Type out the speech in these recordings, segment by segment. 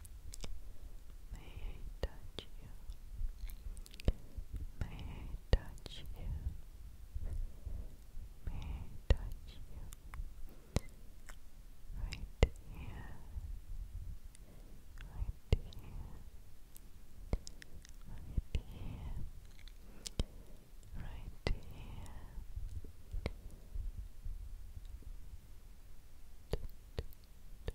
May I touch you? May I touch you? May I touch you? Right here. Right here. Right here. Right here. Right here.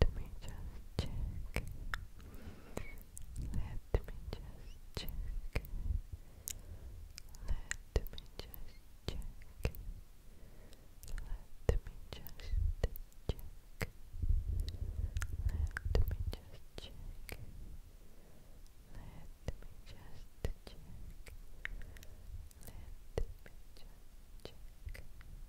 Let me just check. Let me just check. Let me just check. Let me just check. Let me just check. Let me just check. Let me just check.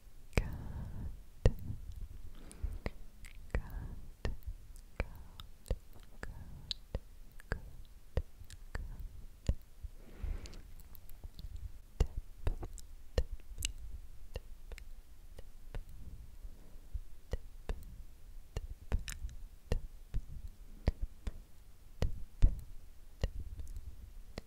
Good. Good. Good. Good. Good. Good. Tip, tip, tip, tip, tip, tip, tip, tip, tip,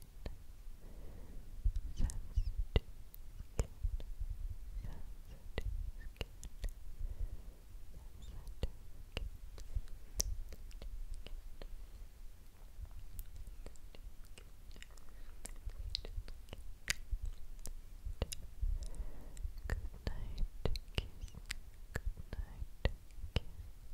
Good night, kiss. Good night, kiss.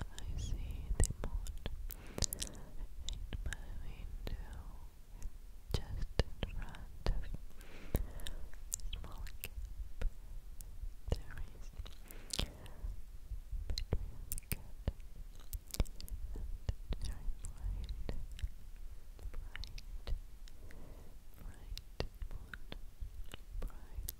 I see the moon in my window just in front of small gap there is between the cat and the giant light bright, bright moon bright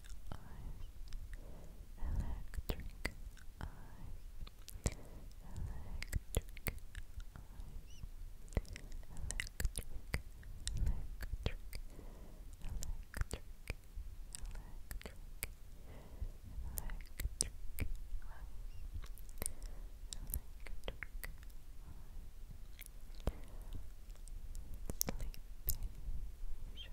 eyes, electric eyes, electric eyes, electric, electric, electric, electric. Electric eyes, electric eyes. Sleepy,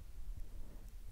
I love you. you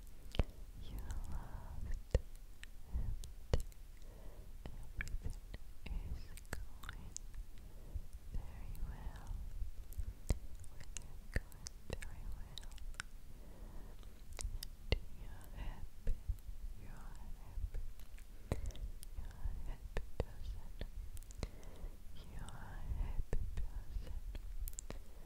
You loved empty. Everything is going very well. We're going very well. you're happy. You're happy. You're a happy person. You're a happy person.